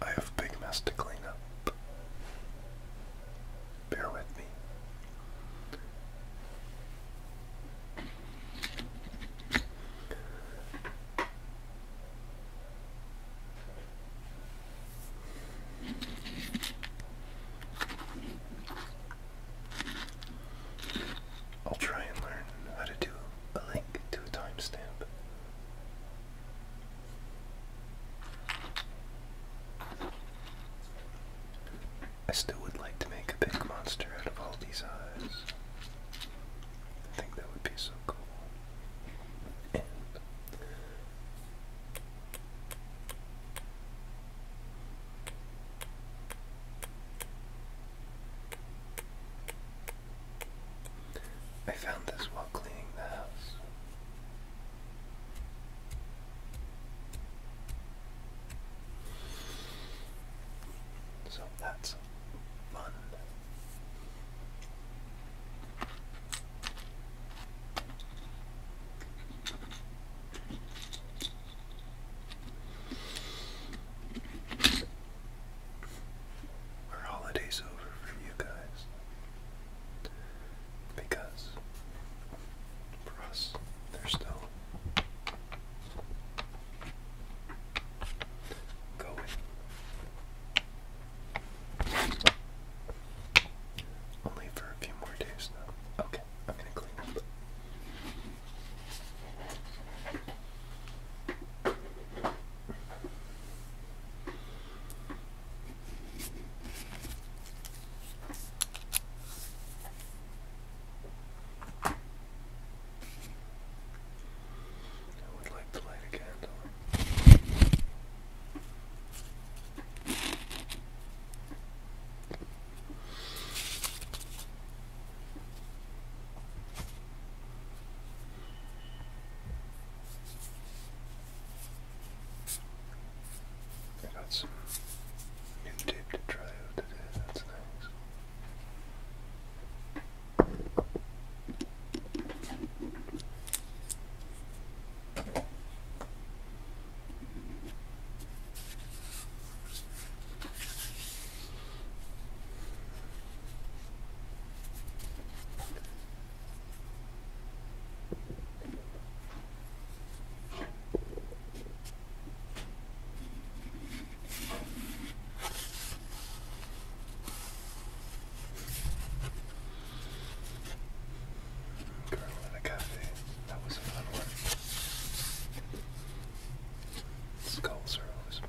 I have a big mess to clean up. Bear with me. I'll try and learn how to do a link to a timestamp I still would like to make a big monster out of all these eyes. I think that would be so cool. I found this while cleaning the house. So that's fun our holidays over for you guys because for us they're still going. Only for a few more days now. Okay, I'm gonna clean up. I would like to light a candle. I new tape to try out today, that's nice. Girl in a cafe. That was a fun one. Skulls are always fun.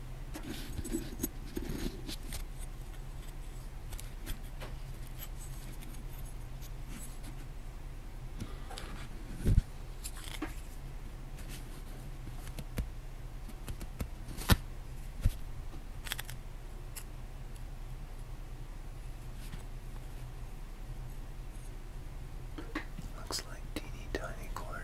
Looks like teeny tiny corn.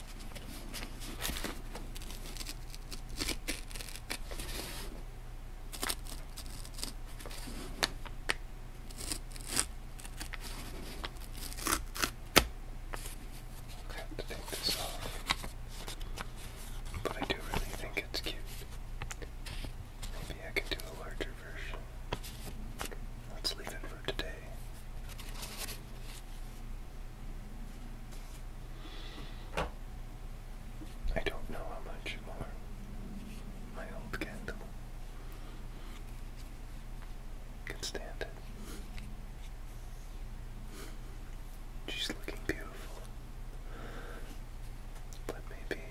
I have to take this off. But I do really think it's cute. Maybe I can do a larger version. Let's leave it for today. I don't know how much more my old candle can stand it. She's looking beautiful, but maybe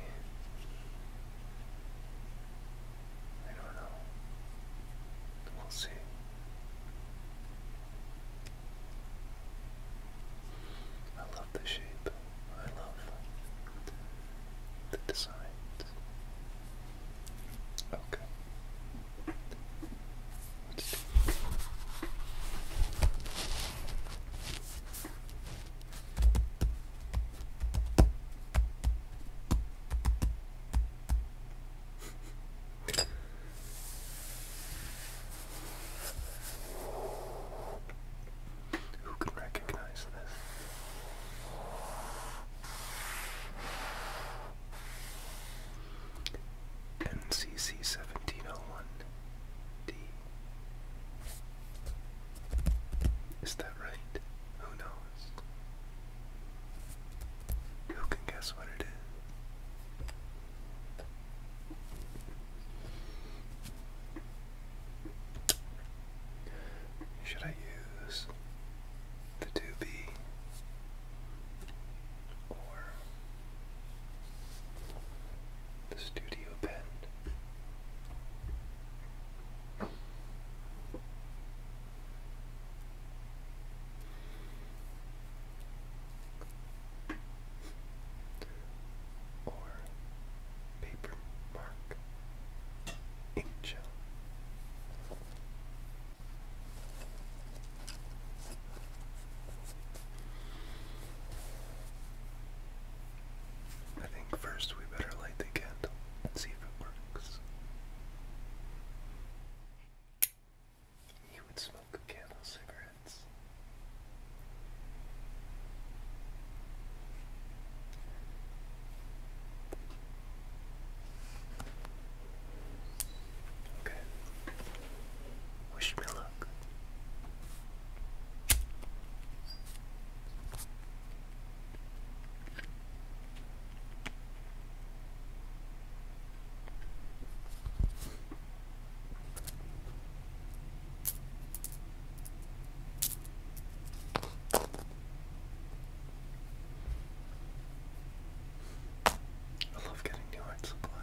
I don't know. We'll see. I love the shape. I love the designs. Okay. Let's do who can recognize this? NCC 1701D. Is that right? Who knows? Who can guess what it is? Should I use the 2 or the studio pen? or paper mark inkjet. I think first we better light the candle and see if it works. He would smoke candle cigarettes. Okay. Wish me luck. I love getting new art supplies.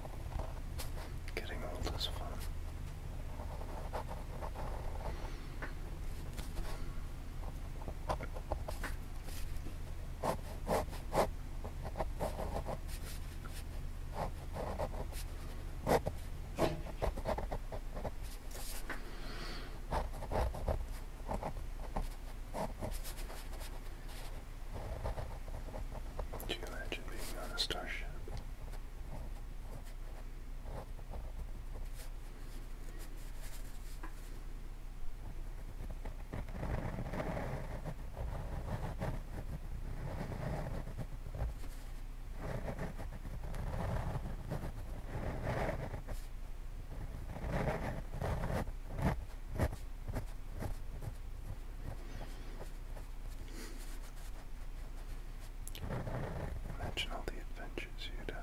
Getting old is fun. Could you imagine being on a starship? Imagine all the adventures you'd have.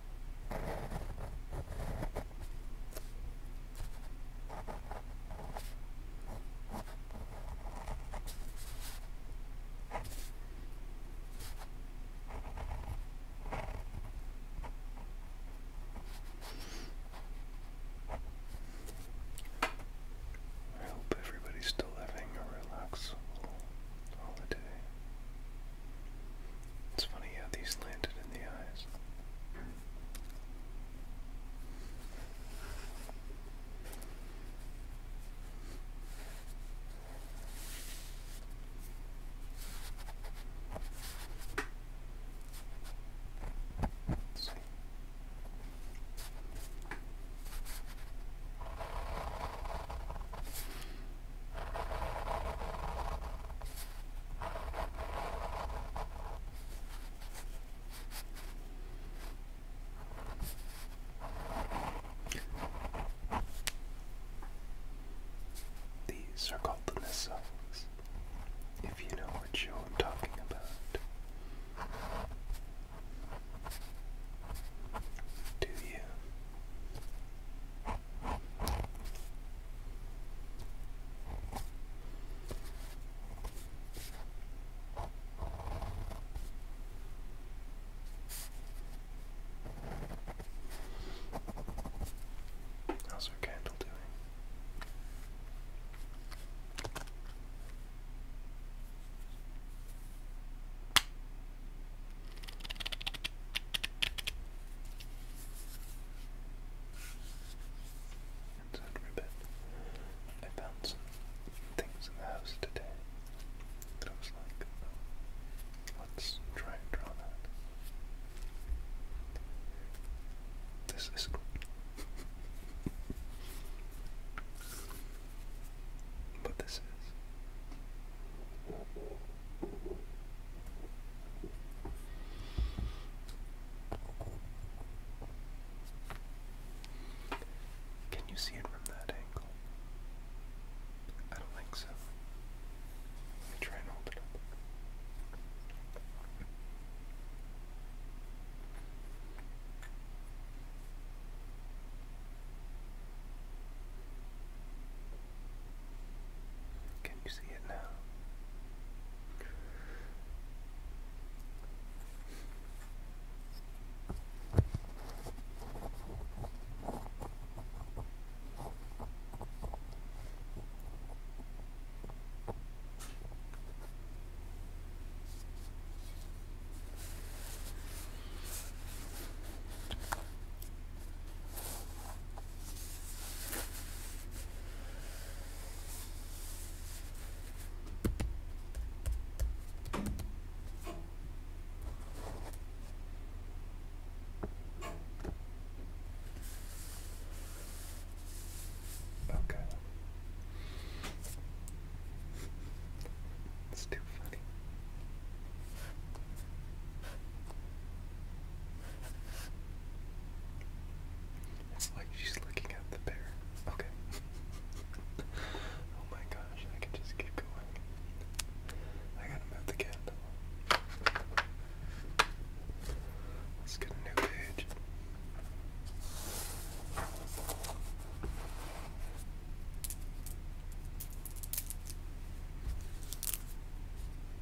I hope everybody's still having a relaxable holiday. It's funny how these landed in the eyes. These are called the missiles, if you know what show i talking about. Do you? How's our Inside ribbon. I found some things in the house today that I like, oh, let's try and draw that. This is cool. this is. Can you see it from that angle? I don't think so. Let me try and hold it up. Can you see it now? Okay. It's too funny. It's like she's looking at the bear. Okay. oh my gosh, I could just keep going. I gotta move the candle. Let's get a new page.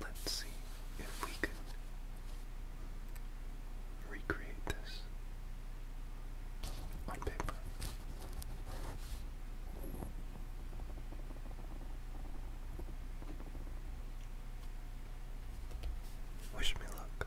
Let's see if we can recreate this on paper. Wish me luck.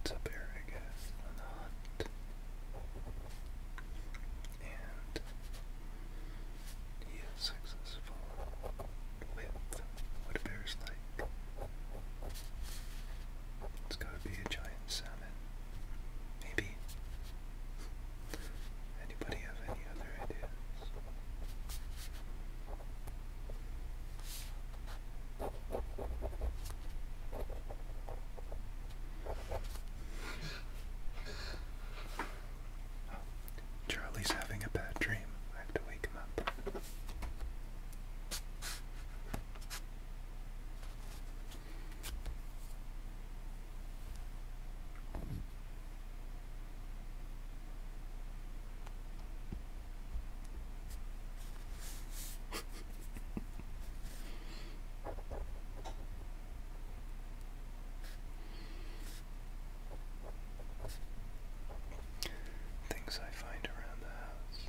It's a bear, I guess, or not. And he is successful with what appears like it's gotta be a giant salmon. Maybe. Anybody have any other ideas? Charlie's having a bad dream. I have to wake him up. Things I find around the house.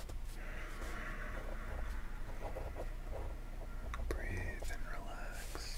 Breathe and relax.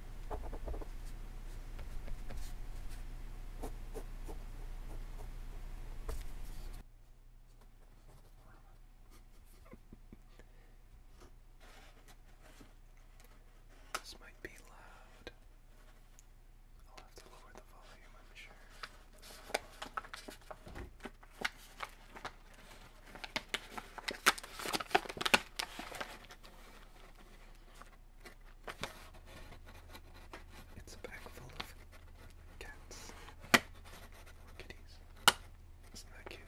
This might be loud. I'll have to lower the volume, I'm sure. It's a bag full of cats or kitties. Isn't that cute?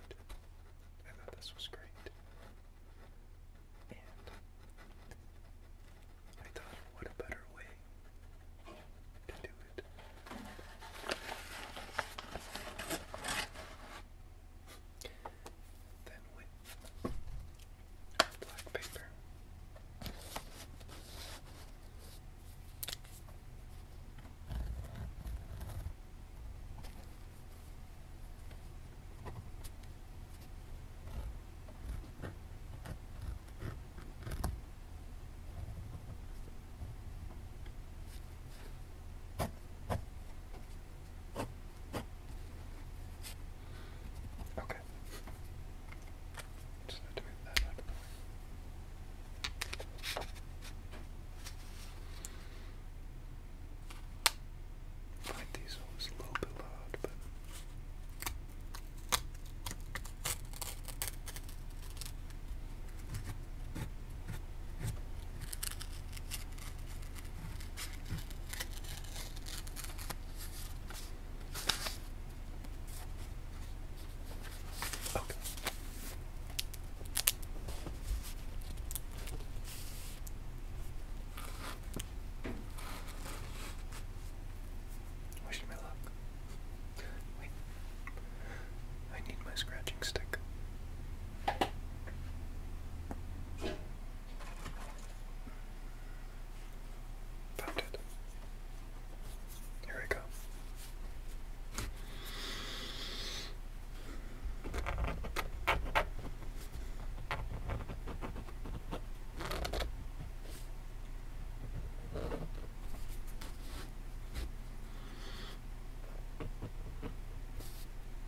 I thought this was great. And I thought, what a better way to do it then with black paper. Okay. Just need to that find these a little bit loud, Okay. Wish me luck. Wait. I need my scratching stick. Found it. Here we go.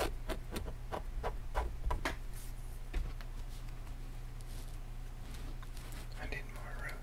I need more room.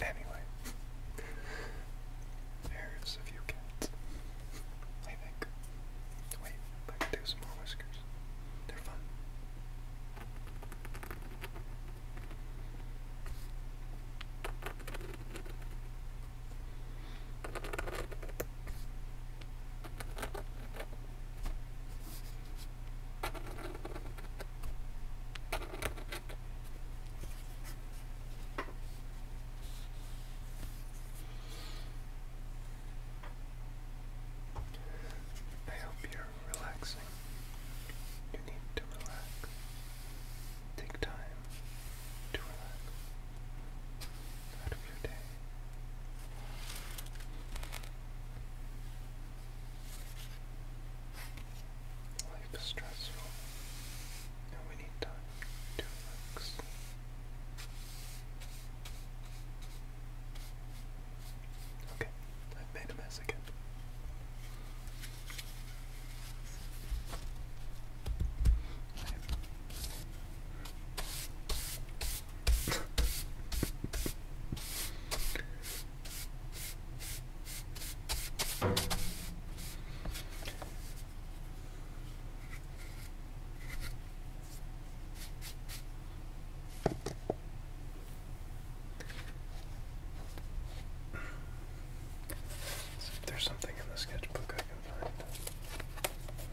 Anyway, there's a few cats. I Wait, I can do some more whiskers. They're fun. I hope you're relaxing. You need to relax. Take time to relax out of your Life is stressful, and we need time to relax. Okay, I've made a mess again. There's something in the sketchbook I can find.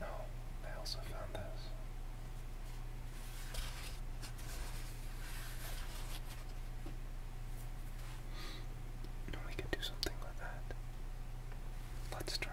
Oh, I also found this. No, we could do something with that. Let's try.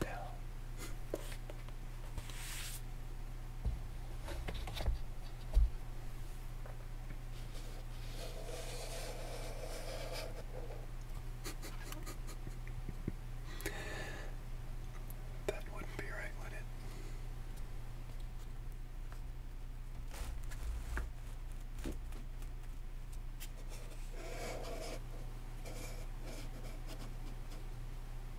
bell. that wouldn't be right, would it?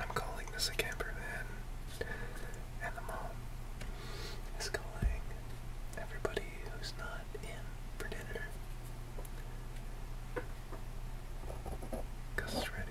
I'm calling this a camper van, and the mom is calling everybody who's not in for dinner. Cause it's ready.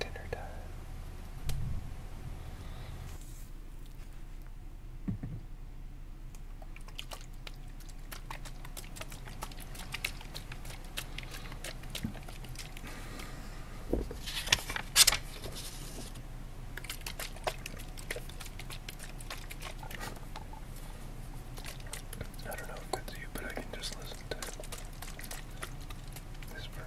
Dinner time. I don't know if that's you, but I can just listen to this for an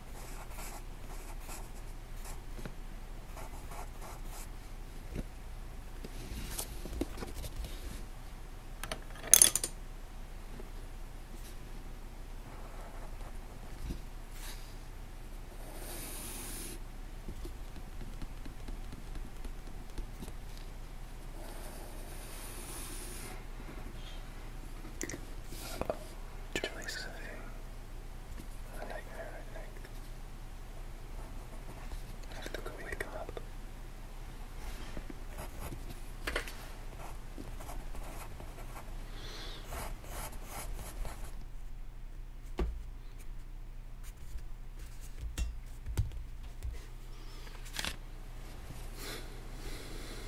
Joyce a nightmare, I like. I have to wake up.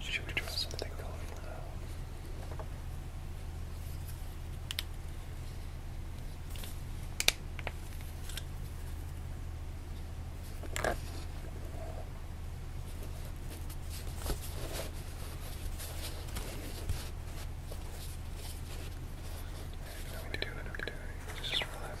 Should we try something Let me do it, let me do Just relax.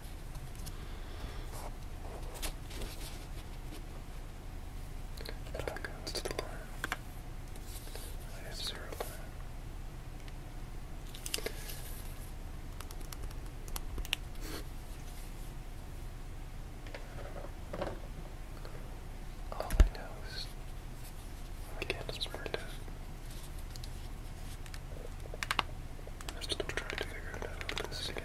Back out to the line. I have zero All I know is my candles burned out. I'm still trying to figure out this again.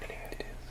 And here it is.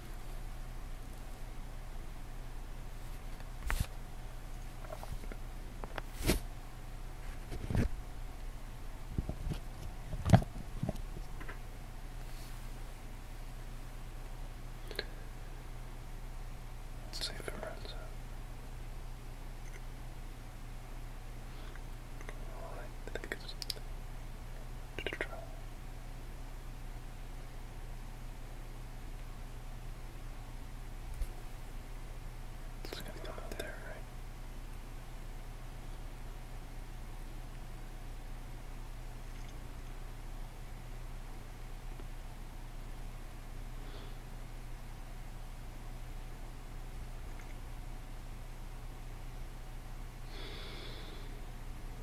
Let's see if it runs out. Well, I think it's something try. It's gonna come out there, right?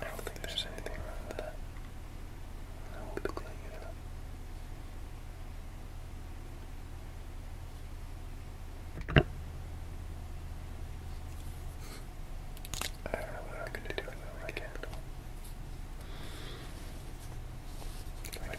I don't think there's anything wrong with that. I won't it I don't know what I'm gonna do though, I can't. Wait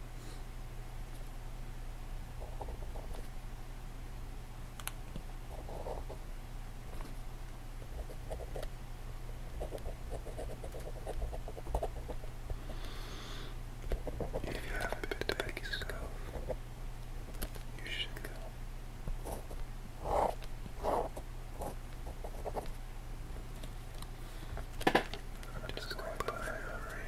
If you have a bit to bake you should go. I'm just going by memory.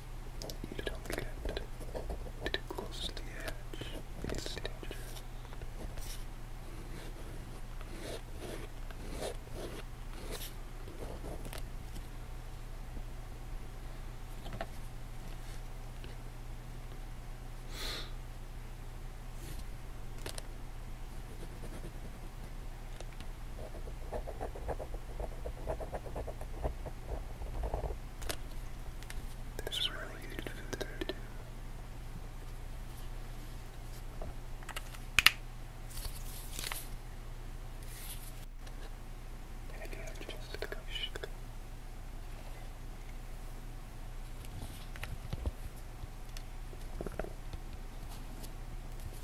You don't get too close the edge. It's dangerous. This is really good food there too. And just a gosh.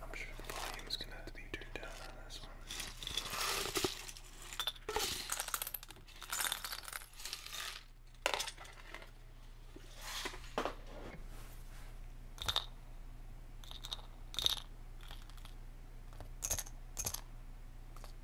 I'm sure the volume's gonna have to be turned down on this one.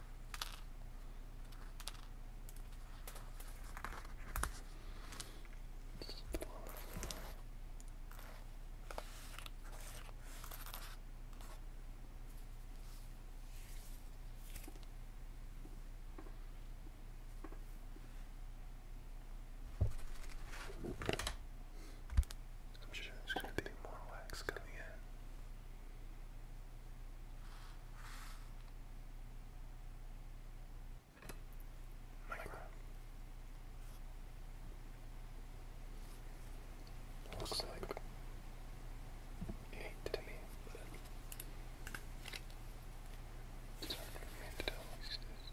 I'm sure there's going to be more wax coming in. Micro. Looks like eight to me, but it's hard for me to tell what this is.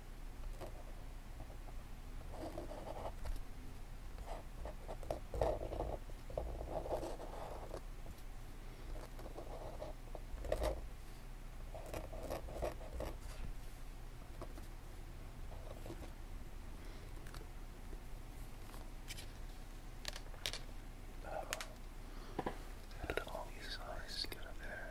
Oh. How did all these eyes get up there?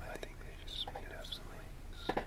I think they just made up some links.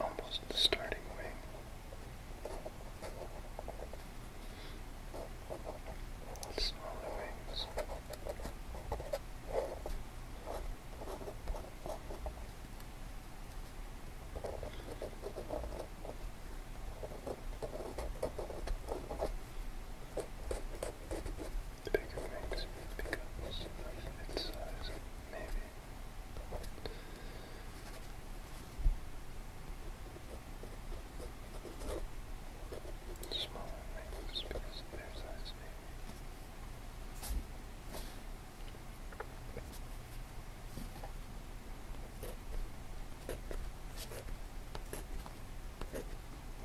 Almost starting wing. Smaller wings. The bigger rings becomes of its size, maybe. Smaller rings because of their size, maybe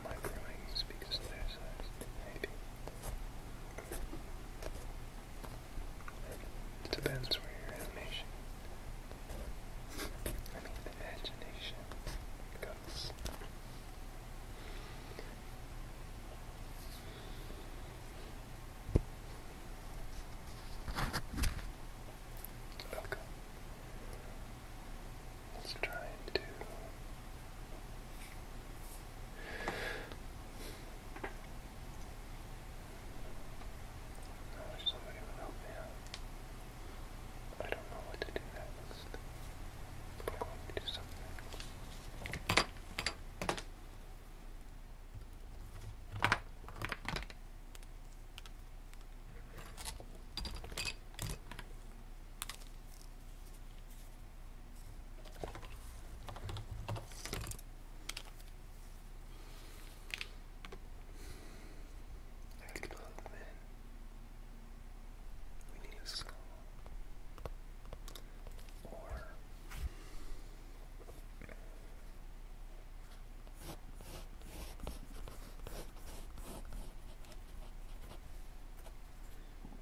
microwings because of their size, maybe. It depends where your animation, I mean imagination, goes. Okay. It's trying to oh, I somebody would I don't know what to do next. I'm to do something. Acknowledgement. We need a skull. Or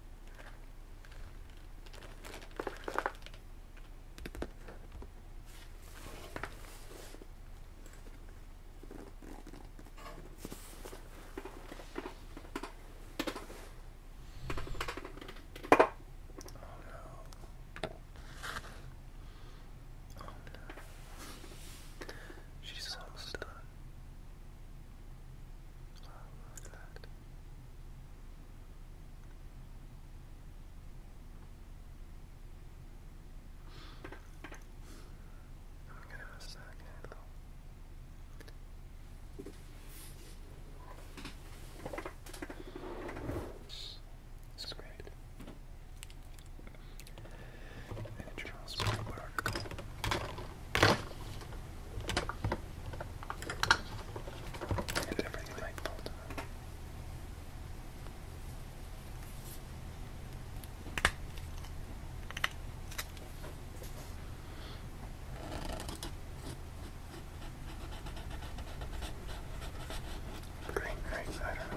Oh, no. Oh no. She's almost done. Oh, look that. Give it great. And it transforms did everything like both of Green I don't know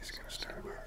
He's gonna start barking.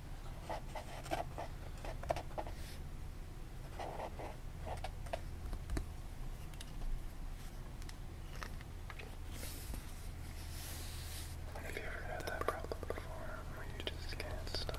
Have you ever had that problem before where you just can't stop?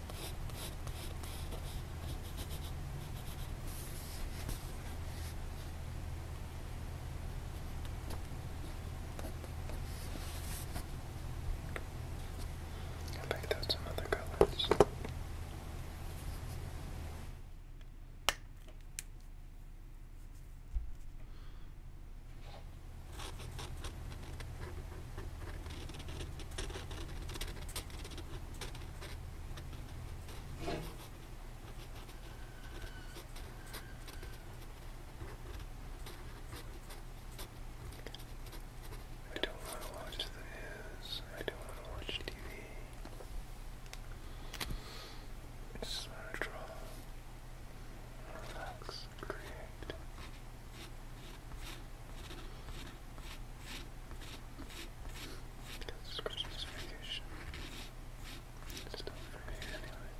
I picked out some other colors. I don't want to watch the news. I don't want to watch TV. just want to draw, relax, create. Because it's Christmas vacation. It's done for me anyway.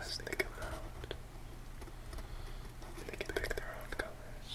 As they come out, they can pick their own colors.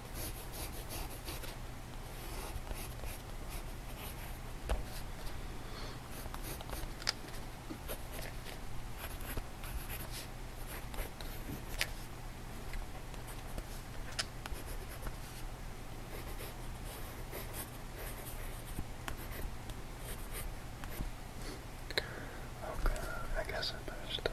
Okay, I guess I better stop.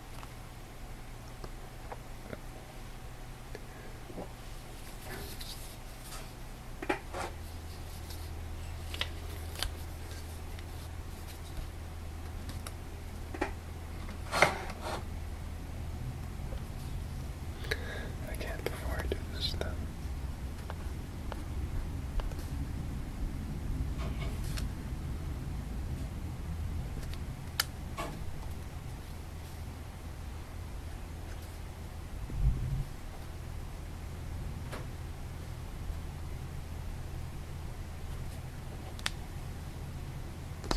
I can't before I do this then.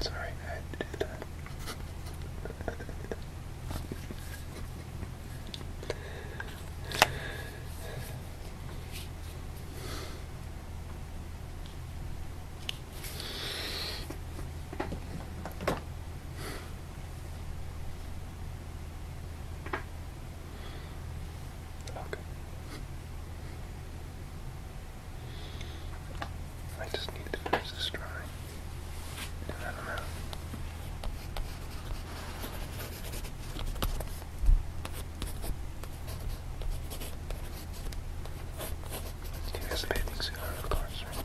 Sorry, I had that. Okay. I just need to finish this drawing. And then I'm out. He has a bathing suit of course, right?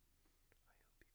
I hope you